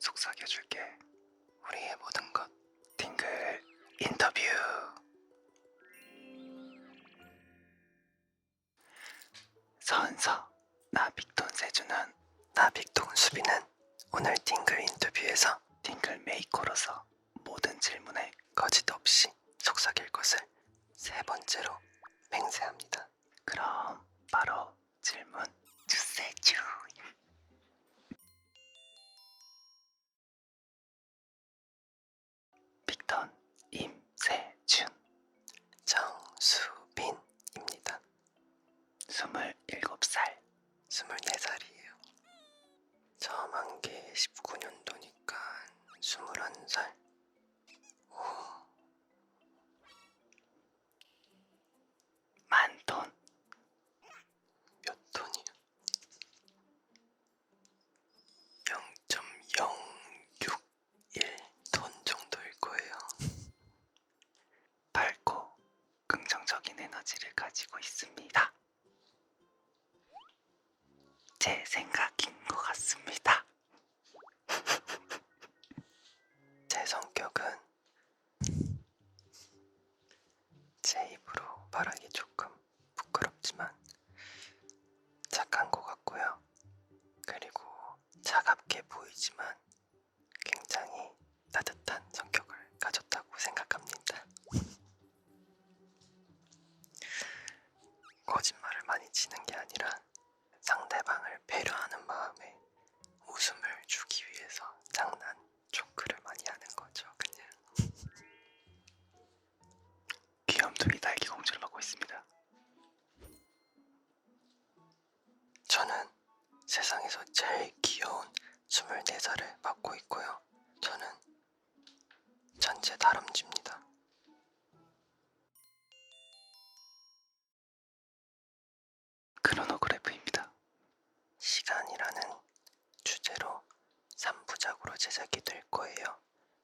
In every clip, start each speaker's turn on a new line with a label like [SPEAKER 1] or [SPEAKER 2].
[SPEAKER 1] 속삭여줄게. 우리의 모든 것. 딩글 인터뷰. 서은서, 나빅돈 세주는 나빅돈 수비는 오늘 딩글 인터뷰에서 딩글 메이커로서 모든 질문에 거짓 없이 속삭일 것을 세 번째로 맹세합니다. 그럼 바로
[SPEAKER 2] 질문 주세요. 빅턴 임세준 정수빈입니다.
[SPEAKER 1] 27살 24살이에요. 처음 한게
[SPEAKER 2] 19년도니까 21살. 오. 만 톤? 몇 톤이야?
[SPEAKER 1] 0.061톤 정도일 거예요. 밝고 긍정적인 에너지를 가지고 있습니다. 제 생각인 것 같습니다. 제 성격은 제 입으로 말하기 조금 부끄럽지만 착한 것 같고요. 그리고 차갑게 보이지만 굉장히 따뜻한 성격을 가졌다고 생각합니다. 거짓말을 많이 치는 게 아니라 상대방을 배려하는 마음에 웃음을 주기 위해서 장난 초크를 많이 하는 거죠. 그냥 귀염둥이 딸기 공주를 먹고 있습니다. 저는 세상에서 제일 귀여운 24살을
[SPEAKER 2] 맡고 있고요. 저는 전체 다람쥐입니다. 크로노그래프입니다. 시간이라는 주제로 3부작으로
[SPEAKER 1] 제작이 될 거예요.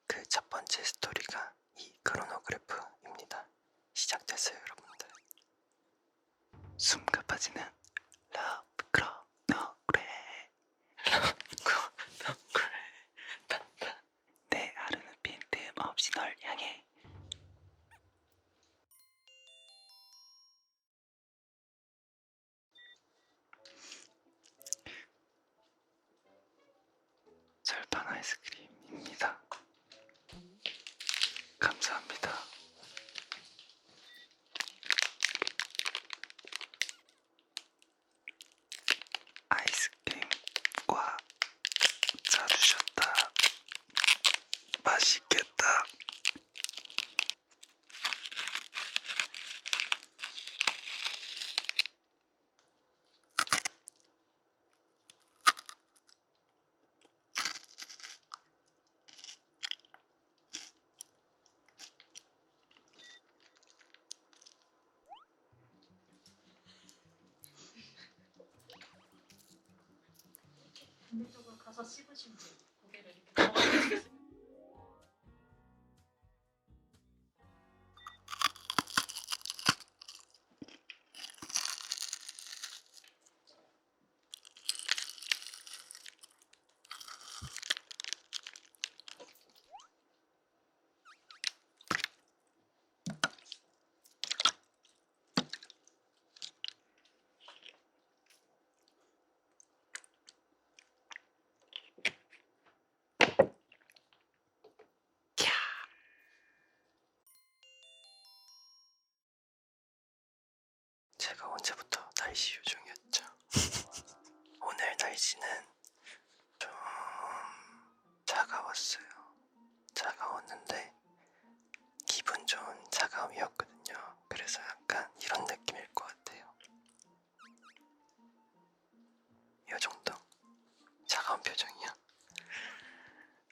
[SPEAKER 1] 그 첫 번째 스토리가 이 크로노그래프입니다. 시작됐어요, 여러분들. 숨 가빠지는 러브 크로노그래
[SPEAKER 2] 러브 크로노그래 내 하루는 빈틈없이 널 향해 설탕 아이스크림입니다.
[SPEAKER 1] 감사합니다. 아이스크림과 사주셨다 맛있겠다.
[SPEAKER 2] 반대쪽으로 가서 씹으신 분 고개를 이렇게 넘어가시겠어요? 제가 언제부터 날씨 요정이었죠.
[SPEAKER 1] 오늘 날씨는 좀 차가웠어요. 차가웠는데 기분 좋은 차가움이었거든요. 그래서 약간 이런 느낌일 것 같아요. 이 정도? 차가운 표정이야?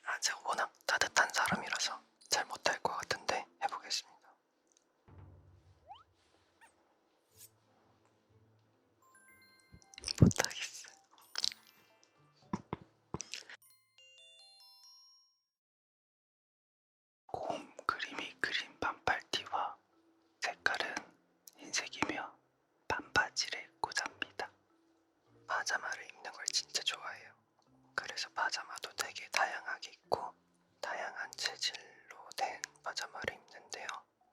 [SPEAKER 1] 아, 제가 워낙 따뜻한 사람이라서 잘 못할 것 같은데 해보겠습니다. 못하겠어요. 곰 그림이 그린 반팔티와 색깔은 흰색이며 반바지를 꽂합니다. 파자마를 입는 걸 진짜 좋아해요. 그래서 파자마도 되게 다양하게 입고 다양한 재질로 된 파자마를 입는데요.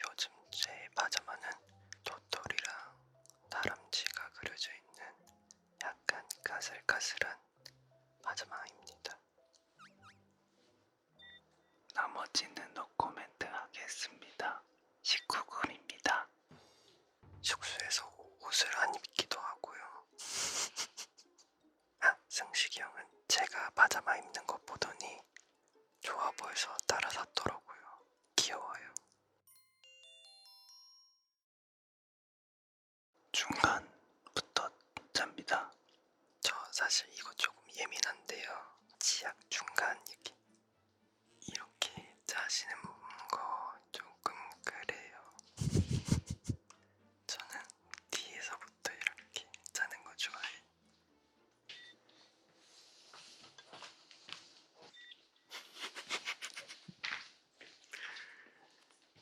[SPEAKER 1] 요즘 제 파자마는 도토리랑 다람쥐가 그려져 있는 약간 가슬가슬한 마지막입니다. 나머지는 노코멘트 하겠습니다. 19금입니다. 숙소에서 옷을 안 입기도 하고요. 아, 승식이 형은 제가 파자마 입는 것 보더니 좋아 보여서 따라 샀더라고요. 귀여워요.
[SPEAKER 2] 중간부터 잡니다. 저 사실 이거 조금 예민한데요. 치약 중간 이렇게
[SPEAKER 1] 이렇게 짜시는 거 조금 그래요. 저는 뒤에서부터 이렇게 짜는 거 좋아해요.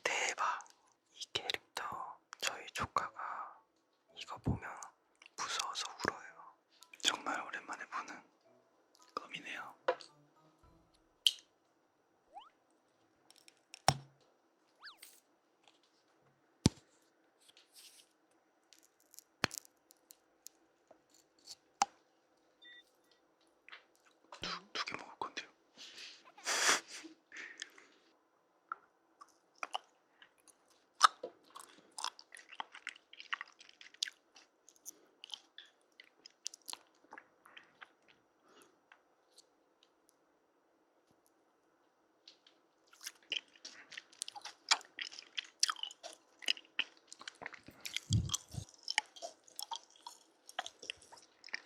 [SPEAKER 1] 대박! 이 캐릭터 저희 조카가 이거 보면 무서워서 울어요. 정말 오랜만에 보는 껌이네요. 두개 먹을 건데요.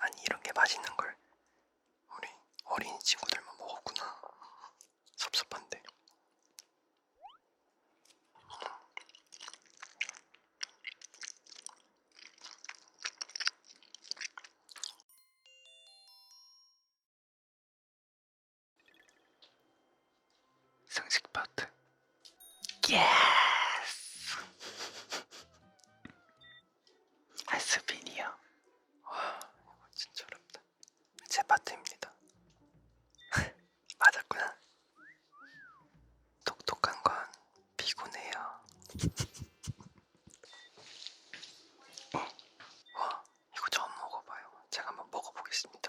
[SPEAKER 1] 아니 이렇게 맛있는 걸 우리 어린 친구들만
[SPEAKER 2] 먹었구나. 섭섭한데. 상식 파트. 예스! 하스빈이요.
[SPEAKER 1] 와, 이거 진짜 어렵다. 제 파트입니다. 맞았구나. 똑똑한 건 피곤해요. 어, 와, 이거 처음 먹어봐요. 제가 한번 먹어보겠습니다.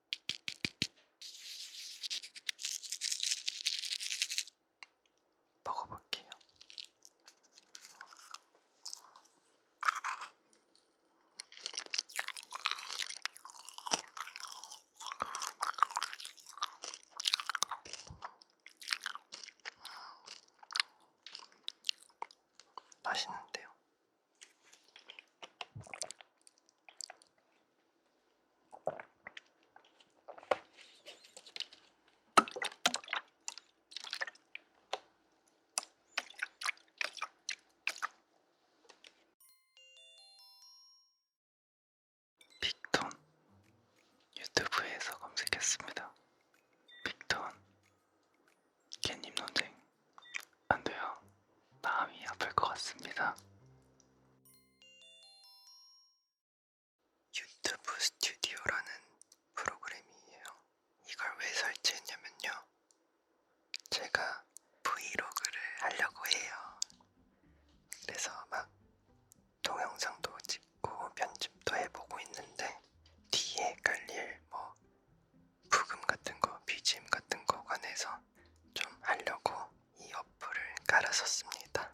[SPEAKER 2] 먹어볼게요. 맛있는데요. 빅톤 유튜브에서 검색했습니다. 빅톤
[SPEAKER 1] 캣님 논쟁 안 돼요. 마음이 아플 것 같습니다. 유튜브 스튜디오라는 프로그램이에요. 이걸 왜 설치했냐면요. 제가 브이로그를 하려고 해요. 그래서 막 동영상도 찍고 편집도 해보고 있는데 뒤에 깔릴 뭐 부금 같은 거, BGM 같은 거 관해서 좀 하려고 이 어플을 깔아서 씁니다.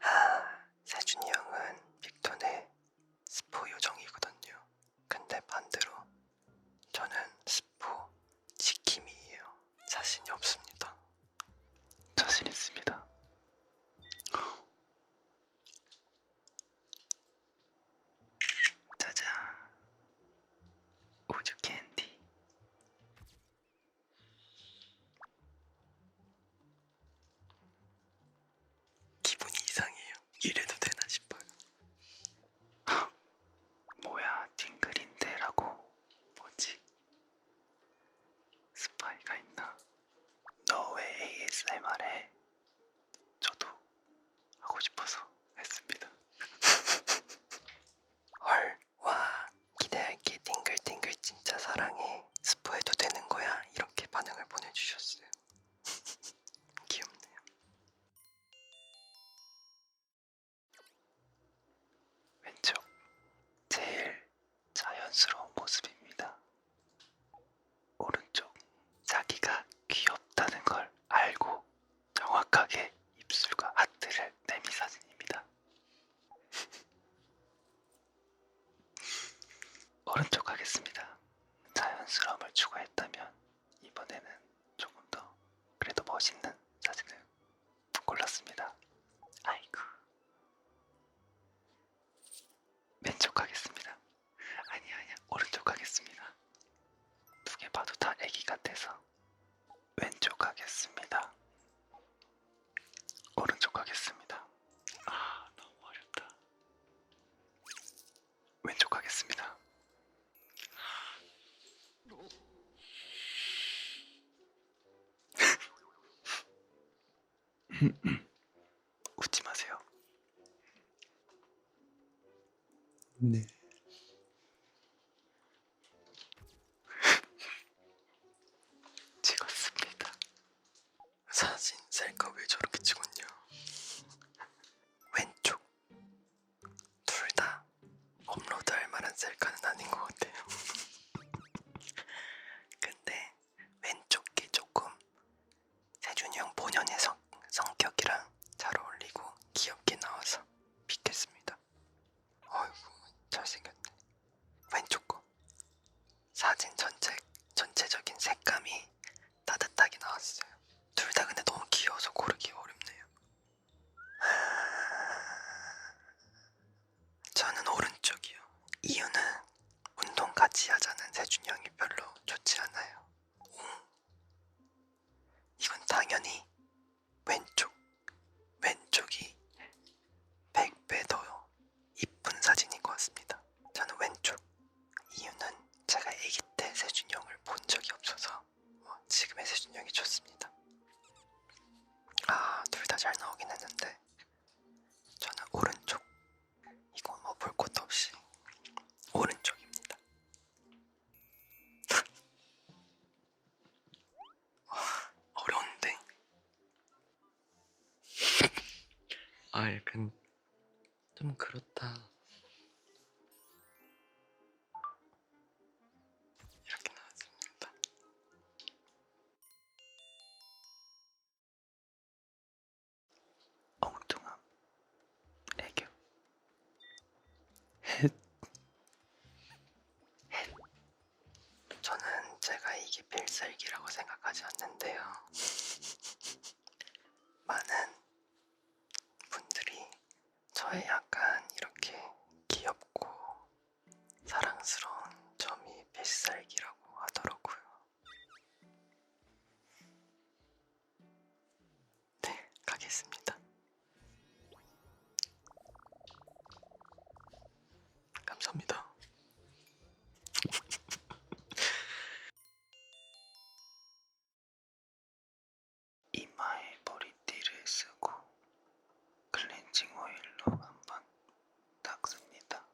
[SPEAKER 1] 아, 세준이 형은 빅톤의 스포 요정이거든요. 근데 반대로 저는 스포 지킴이에요. 자신이 없습니다.
[SPEAKER 2] 자신 있습니다. 짜잔 우주
[SPEAKER 1] 캔디 기분이 이상해요. 이래도 되나 싶어요. 뭐야 팅글인데라고 뭐지? 스파이가 있나? 너 왜 ASMR에
[SPEAKER 2] 저도 하고 싶어서 했습니다.
[SPEAKER 1] 헐, 와, 기대할게 띵글띵글 진짜 사랑해. 스포해도 되는 거야? 이렇게 반응을 보내주셨어요. 귀엽네요. 왼쪽 제일 자연스러운 모습입니다. 오른쪽 자기가 귀엽다는 걸 알고 정확하게 입술과 하트를 내미 사진입니다. 오른쪽 하겠습니다. 자연스러움을 추구했다면 이번에는 조금 더 그래도 멋있는 사진을 골랐습니다. 아이고 왼쪽 하겠습니다. 아니야 아니야 오른쪽 하겠습니다. 두 개 봐도 다 애기 같아서 왼쪽 하겠습니다. 오른쪽 하겠습니다. 아 너무 어렵다. 왼쪽 하겠습니다.
[SPEAKER 2] 웃지 마세요. 네. 찍었습니다. 사진
[SPEAKER 1] 셀카 왜 저렇게 찍었냐? 왼쪽 둘 다 업로드할 만한 셀카는 아닌 것 같아요. 근데 왼쪽 게 조금 세준이 형 본연의 성, 성격이랑 잘 어울리고 귀엽게 나와서 믿겠습니다. 어이구 잘생겼네. 왼쪽 거 사진 전체 전체적인 색감이 따뜻하게 나왔어요. 둘 다 근데 너무 귀여워서 고르기 어렵네요. 저는 오른쪽이요. 이유는 운동 같이 하자는 세준 형이 별로 좋지 않아요. 이건 당연히 왼쪽, 왼쪽이 100배 더 이쁜 사진인 것 같습니다. 저는 왼쪽. 이유는 제가 아기 때 세준이 형을 본 적이 없어서 뭐 지금의 세준이 형이 좋습니다. 아, 둘 다 잘 나오긴 했는데 저는 오른쪽 이건 뭐 볼 것도 없이 오른쪽입니다.
[SPEAKER 2] 어려운데. 아, 약간 좀 그렇다. 이렇게 나왔습니다.
[SPEAKER 1] 엉뚱함 애교 헷 헷. 저는 제가 이게 필살기라고 생각하지 않는데요. 많은 분들이 저의 약간 이렇게 귀엽고 사랑스러운 점이 필살기라고
[SPEAKER 2] 하더라고요. 네, 가겠습니다. 감사합니다. 이마에 머리띠를 쓰고 클렌징 오일로 한번 닦습니다.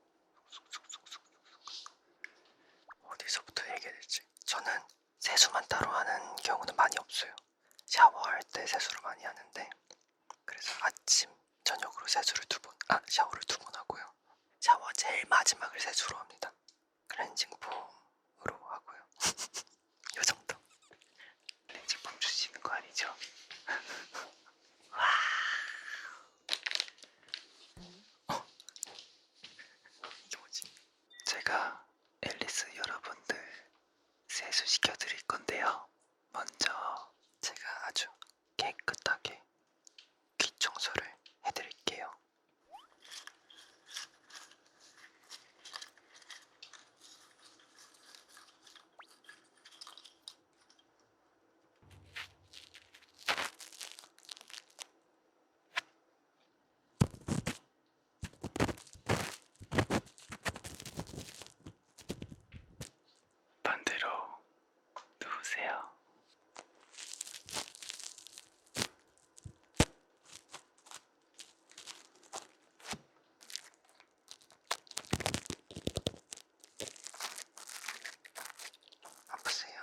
[SPEAKER 2] 쏙쏙쏙쏙쏙쏙. 어디서부터
[SPEAKER 1] 얘기해야 될지. 저는 세수만 따로 하는 경우는 많이 없어요. 샤워할 때 세수를 많이 하는데 그래서 아침, 저녁으로 세수를 두 번, 아 샤워를 두 번 하고요. 샤워 제일 마지막을 세수로 합니다. 클렌징 폼으로 하고요. 요 정도. 클렌징 폼 주시는 거 아니죠? 와. 어. 이게 뭐지? 제가 앨리스 여러분들 세수시켜 드릴 건데요. 먼저 제가 아주 깨끗하게 귀 청소를 해드릴게요. 반대로
[SPEAKER 2] 누우세요. 아프세요?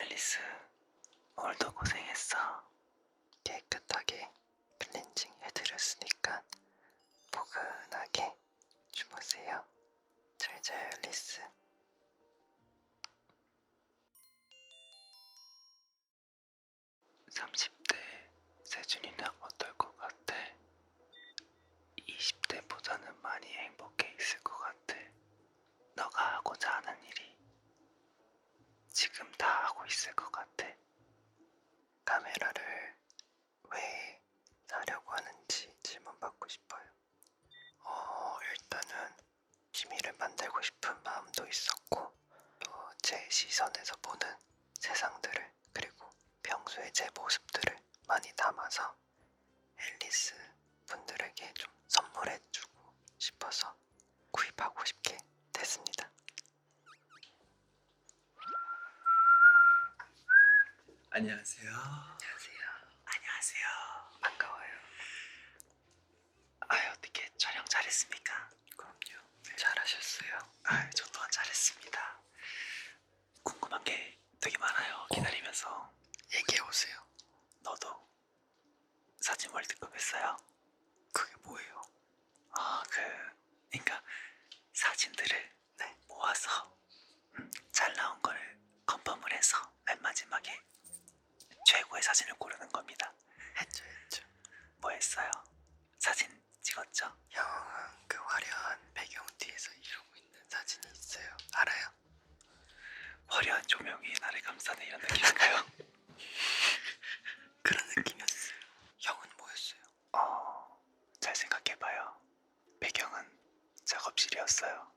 [SPEAKER 1] 앨리스 오늘도 고생했어. 깨끗하게 클렌징 해드렸으니까
[SPEAKER 2] 포근하게 주무세요. 잘 자요, 리스. 삼십 대 세준이는 어떨 것 같아? 이십 대보다는
[SPEAKER 1] 많이 행복해 있을 것 같아. 너가 하고자 하는 일이 지금 다 하고 있을 것 같아. 카메라를 왜 사려고 하는지 질문받고 싶어요. 어, 일단은 취미를 만들고 싶은 마음도 있었고, 또 제 시선에서 보는 세상들을, 그리고 평소에 제 모습들을 많이 담아서 앨리스 분들에게 좀 선물해주고 싶어서 구입하고 싶게 됐습니다. 안녕하세요. 안녕하세요. 안녕하세요. 반가워요. 아유 어떻게 촬영 잘했습니까? 그럼요. 네. 잘하셨어요. 아유 네, 저 또한 잘했습니다.
[SPEAKER 2] 궁금한 게 되게 많아요. 어. 기다리면서 어. 얘기해 오세요. 너도 사진 월드컵 했어요? 그게 뭐예요? 아 그 그러니까
[SPEAKER 1] 사진들을 네, 모아서 음, 잘 나온 걸 컨펌을 해서 맨 마지막에 최고의 사진을 고르는 겁니다. 했죠 했죠. 뭐 했어요? 사진 찍었죠? 형, 그 화려한 배경 뒤에서 이러고 있는 사진이 있어요. 알아요? 화려한 조명이 나를 감싸네 이런 느낌인가요? 그런 느낌이었어요. 형은 뭐였어요? 어, 잘 생각해봐요. 배경은 작업실이었어요.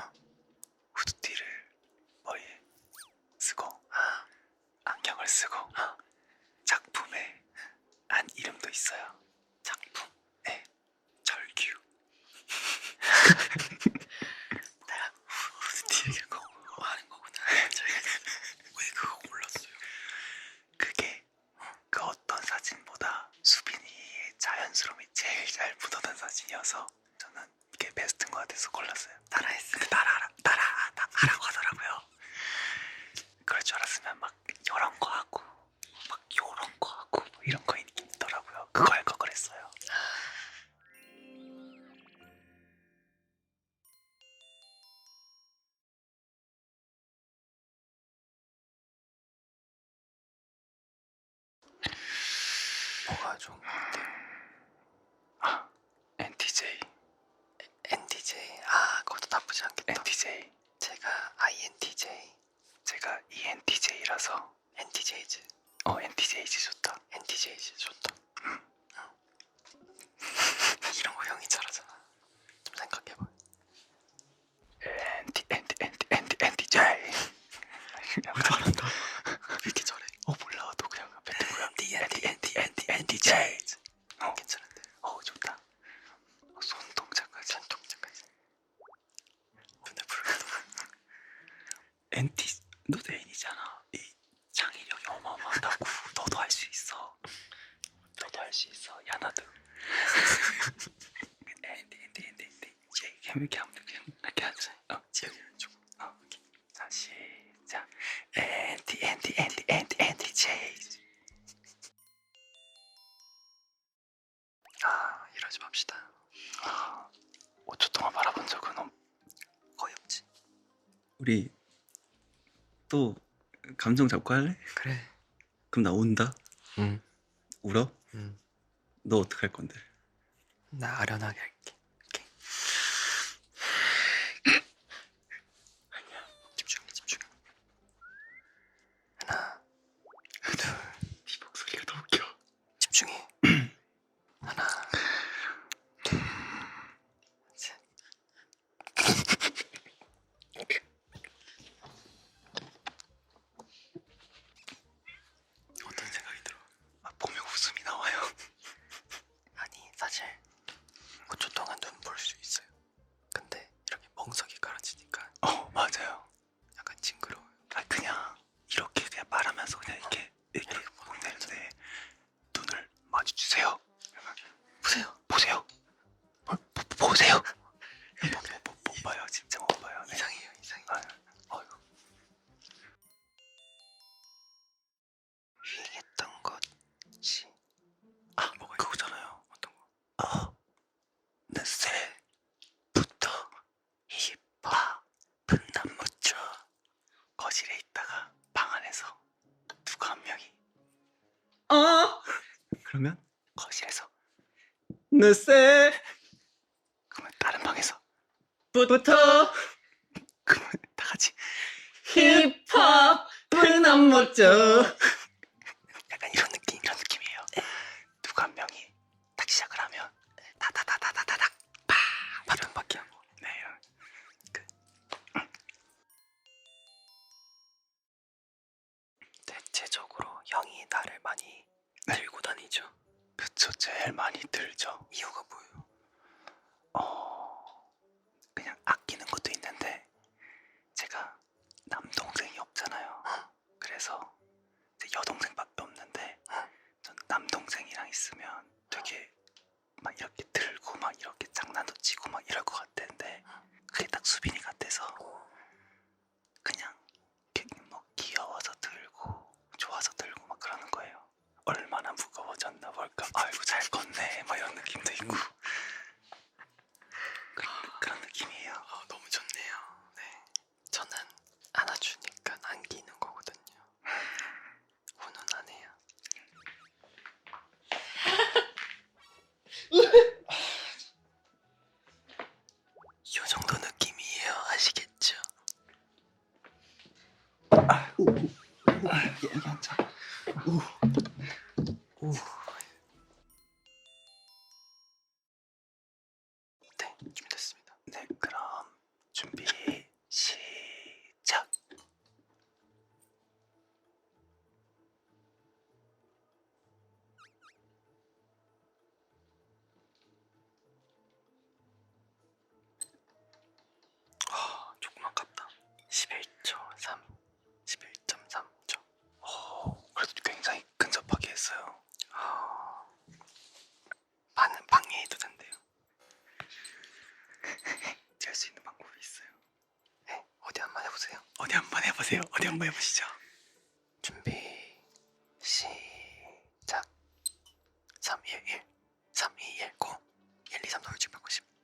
[SPEAKER 1] 어? 후드티를 머리에 쓰고 아. 안경을 쓰고 아. 작품에 한 이름도 있어요. 작품? 네. 절규. 나랑 후드티 얘기하고 하는 거구나. 네, 왜 그거 몰랐어요? 그게 그 어떤 사진보다 수빈이의 자연스러움이 제일 잘 묻어난 사진이어서 저는 이게 베스트인 것 같아서 골랐어요. 따라했어요. 따라 따라 하라고 하더라고요. 그럴 줄 알았으면 막 이런 거 하고 막 요런 거 하고 뭐 이런 거
[SPEAKER 2] 있더라고요. 그거 할거 그랬어요. 뭐가 좋은 건데? 아, NTJ.
[SPEAKER 1] NTJ. 아, 그것도 나쁘지 않겠다. NTJ. 제가 INTJ. 제가 ENTJ라서 NTJ즈. 어, NTJ즈 좋다. NTJ즈 좋다. 음. 응. 이런 거 형이 잘하잖아. 좀 생각해봐. 엔티 엔티 엔티 엔티 엔티 제왜 잘한다 왜 이렇게 잘해 어 몰라 너 그냥 뱉은 거야 엔티 엔티 엔티 엔티 엔티 제 어. 괜찮은데 어 좋다 어, 손동작까지 손동작까지 근데 부르기도 엔티 너 대인이잖아 이 창의력이 어마어마하다고 너도 할수 있어 저도 할 수 있어 야 나도 엔디 엔디 엔디 엔디 이제 이렇게 하면 돼 그냥 이렇게 하자 어 지금 어 오케이 자 시작 엔디 엔디 엔디 엔디 엔디 제이스 아 이러지 맙시다
[SPEAKER 2] 아 5초 동안 바라본 적은 없... 거의 없지 우리
[SPEAKER 1] 또 감정 잡고 할래? 그래 그럼 나 온다? 응. 울어? 응. 너 어떻게 할 건데? 나 아련하게 할게. 오케이. 아니야. 집중해,
[SPEAKER 2] 집중해. 하나, 둘. 네 목소리가 더 웃겨. 집중해. 하나, 둘, 셋,
[SPEAKER 1] 어떤 생각이 들어? 아, 보면 웃음이 나와요. 아니 사실 9초 그 동안 눈볼 수 있어요. 근데 이렇게 멍석이 깔아지니까 어 맞아요. 약간 징그러워요. 아 그냥 이렇게 그냥 말하면서 그냥 이렇게 이렇게 이렇게 네, 네, 네. 보내는데 눈을 마주치세요. 보세요. 보세요. 보세요.
[SPEAKER 2] 못 봐요. 진짜 못 봐요. 네. 이상해요. 이상해요. 아유. 얘기했던 것이 아 뭐가 그거잖아요. 어떤 거? 아 어,
[SPEAKER 1] 넷셀부터 힙합 분남 무쳐 거실에 있다가 방 안에서 누가 한
[SPEAKER 2] 명이 어 그러면
[SPEAKER 1] 거실에서 늦새 그러면 다른 방에서 부터 그러면 다 같이 힙합은 안 멋져 약간 이런 느낌 이런 느낌이에요 누가 한 명이 딱 시작을 하면 다다다다다다닥 팍 바톤 받기 하고 네 이런 그, 음. 대체적으로 형이 나를 많이 네. 들고 다니죠. 그쵸, 제일 많이 들죠. 이유가 뭐예요? 어, 그냥 아끼는 것도 있는데 제가 남동생이 없잖아요. 어? 그래서 이제 여동생밖에 없는데 어? 전 남동생이랑 있으면 되게 막 이렇게 들고 막 이렇게 장난도 치고 막 이럴 것 같은데 어? 그게 딱 수빈이 같아서 그냥 뭐 귀여워서
[SPEAKER 2] 들고 좋아서 들고 막 그러는 거예요. 얼마나 무거워졌나 볼까. 아이고 잘 걷네. 막 뭐 이런 느낌도 있고
[SPEAKER 1] 그런, 그런 느낌이에요. 아, 너무 좋네요. 네, 저는 안아주니까 안기는 거거든요.
[SPEAKER 2] 훈훈하네요.
[SPEAKER 1] 요 정도 느낌이에요. 아시겠죠?
[SPEAKER 2] 아, 우, 우, 우, 여기, 여기 앉아. 우. 우. 네, 준비됐습니다. 네, 그럼 준비 시작.
[SPEAKER 1] 아, 조금 아깝다. 11초 3, 11.3초. 오, 그래도 굉장히 근접하게 했어요. 아, 반은 방해해도 된대요. 될수 있는 방법이 있어요. 네, 어디 한번 해보세요. 어디 한번 해보세요. 어디 한번 해보시죠. 준비 시작. 3, 1, 1, 3, 2, 1, 9, 1, 2, 3, 4, 5, 6, 7,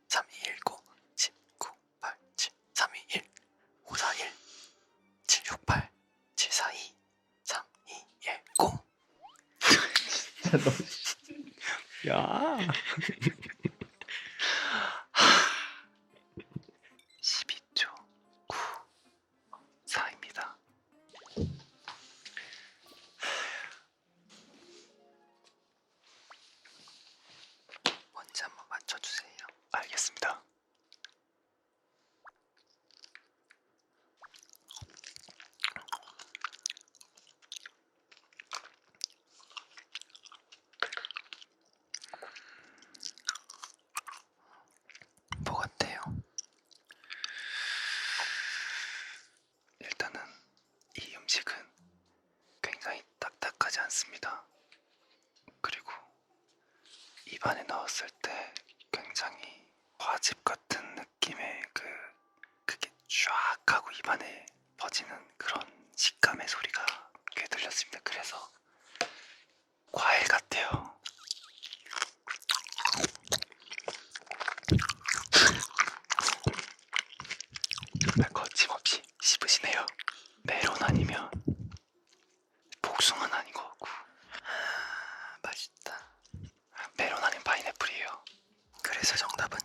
[SPEAKER 1] 8, 9, 10, 3, 2, 1, 9, 10, 9, 8, 7, 3, 2, 1, 5, 4, 1, 7, 6, 8,
[SPEAKER 2] 7, 4, 2, 3, 2, 1, 9. 야. 12초 94입니다.
[SPEAKER 1] 뭔지 한번 맞춰주세요. 알겠습니다. 뭐 같아요? 일단은 이 음식은 굉장히 딱딱하지 않습니다. 그리고 입안에 넣었을 때 굉장히 과즙 같은 느낌의 그 그게 쫙 하고 입안에 퍼지는 그런 식감의 소리가 귀에 들렸습니다. 그래서 과일 같아요. 정말 네, 거침없이 씹으시네요. 메론 아니면 복숭아는 아닌 것 같고 아, 맛있다. 메론 아닌 파인애플이에요. 그래서 정답은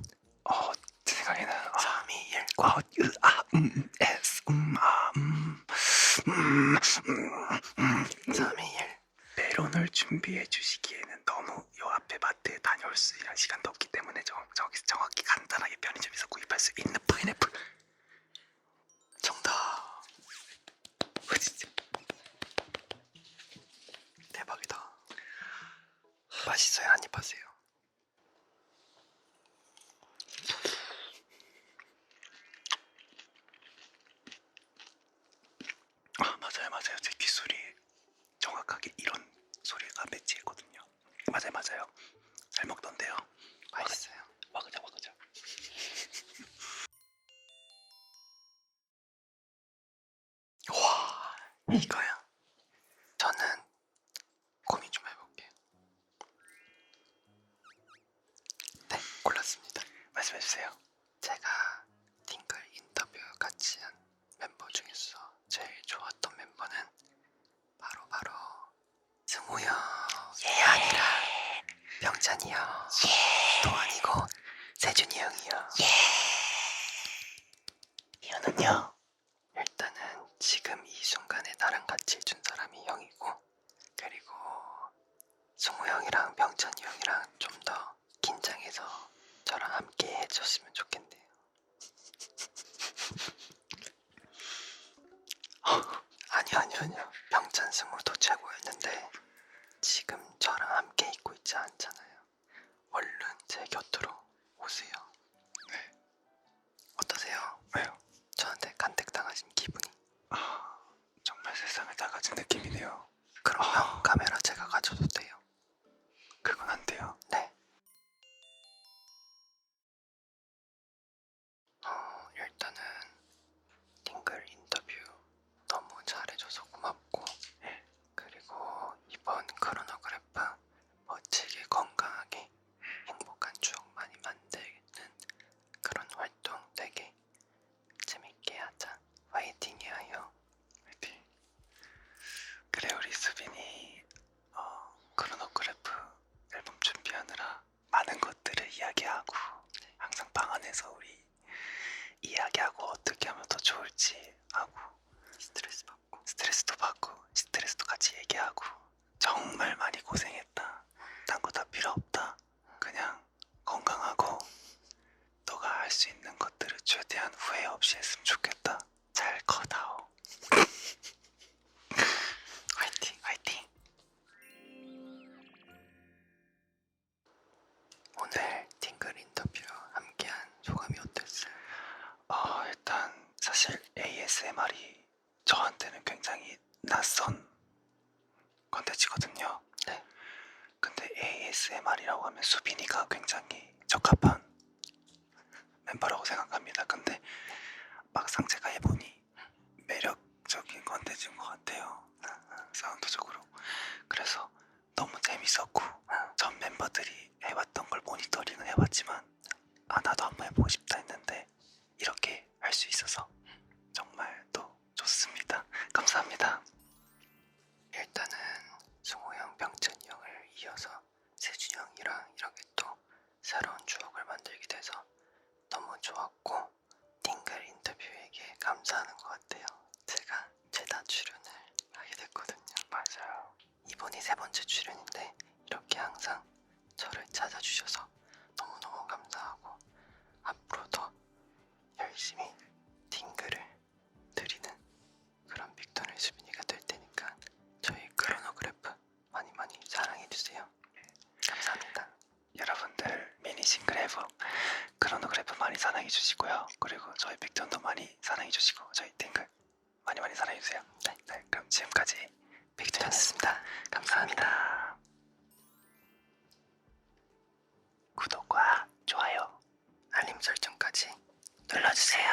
[SPEAKER 1] 어제 생각에는 삼이 아. 일과 으아 음, 음 에스 음아음음삼이일 음. 배론을 준비해 주시기에는 너무 요 앞에 마트에 다녀올 수 있는 시간도 없기 때문에 정, 저기서 정확히 간단하게 편의점에서 구입할 수 있는 파인애플 정답 와 어, 진짜 대박이다 맛있어요 한입 하세요 아 맞아요 맞아요 제 귓소리 정확하게 이런 소리가 매치했거든요 맞아요 맞아요 잘 먹던데요 맛있어요 와그자 와그자 와 이거야 저는 고민 좀 해볼게요. 네, 골랐습니다. 말씀해주세요. 제가 팅글 인터뷰 같이 한 멤버 중에서 제일 좋았던 멤버는 바로 바로 승우 형이 예. 아니라 병찬이 형, 예. 도환이고 세준이 형이요. 예. 이유는요? 일단은 지금 이 순간에 나랑 같이 해준 사람이 형이고 그리고 승우 형이랑 병찬이 형이랑 좀 더 긴장해서 저랑 함께 해줬으면 좋겠네요. 아니요 아니요 아니요 병찬 승우도 최고였는데 지금 저랑 함께 있고 있지 않잖아요. 얼른 제 곁으로 오세요. 네. 어떠세요? 왜요? 저한테 간택당하신 기분이 아
[SPEAKER 2] 정말 세상을 다 가진 느낌이네요. 그러면 아. 카메라 제가 가져도 돼요? 그건 안 돼요. 네. 어, 일단은 팅글 인터뷰 너무 잘해줘서 고맙고 네. 그리고
[SPEAKER 1] 이번 크로노그래프 멋지게 건강하게 행복한 추억 많이 만드는 그런 활동 되게 재밌게 하자. 화이팅이에요. 화이팅. 그래 우리 수빈이 어, 크로노그래프 앨범 준비하느라 많은 것들을 이야기하고 네. 항상 방 안에서 우리 이야기하고 어떻게 하면 더 좋을지 하고 스트레스 받고 스트레스도 받고 스트레스도 같이 얘기하고 정말 많이 고생했다. 딴거다 필요 없다. 그냥 건강하고 너가 할 수 있는 것들을 최대한 후회 없이 했으면 좋겠다. 잘 커다오. 화이팅, 화이팅. 오늘 팅글 인터뷰 함께한 소감이 어땠어요? 어, 일단 사실 ASMR이 저한테는 굉장히 낯선 컨텐츠거든요. 네. 근데 ASMR이라고 하면 수빈이가 굉장히 적합한 멤버라고 생각합니다. 근데 막상 제가 해보니 매력적인 컨텐츠인 것 같아요. 사운드적으로. 그래서 너무 재밌었고 전 멤버들이 해봤던 걸 모니터링을 해봤지만 아 나도 한번 해보고 싶다 했는데 이렇게 할 수 있어서 정말 또 좋습니다. 감사합니다. 일단은 승호 형, 병찬 형을 이어서 세준 형이랑 이렇게 또 새로운 추억을 만들게 돼서 너무 좋았고 띵글 인터뷰에게 감사하는 것 같아요. 제가 최다 출연을 하게 됐거든요. 맞아요. 이번이 세 번째 출연인데 이렇게 항상 저를 찾아주셔서 너무너무 감사하고 앞으로도 열심히 팅글을 드리는 그런 빅톤의 수빈이가 될 테니까 저희 크로노그래프 많이 많이 사랑해주세요. 감사합니다. 여러분들 미니 싱글 앨범 크로노그래프 많이 사랑해주시고요. 그리고 저희 빅톤도 많이 사랑해주시고 저희 팅글 많이 많이 사랑해주세요. 네. 네 그럼 지금까지 빅투였습니다. 감사합니다. 구독과 좋아요, 알림 설정까지
[SPEAKER 2] 눌러주세요.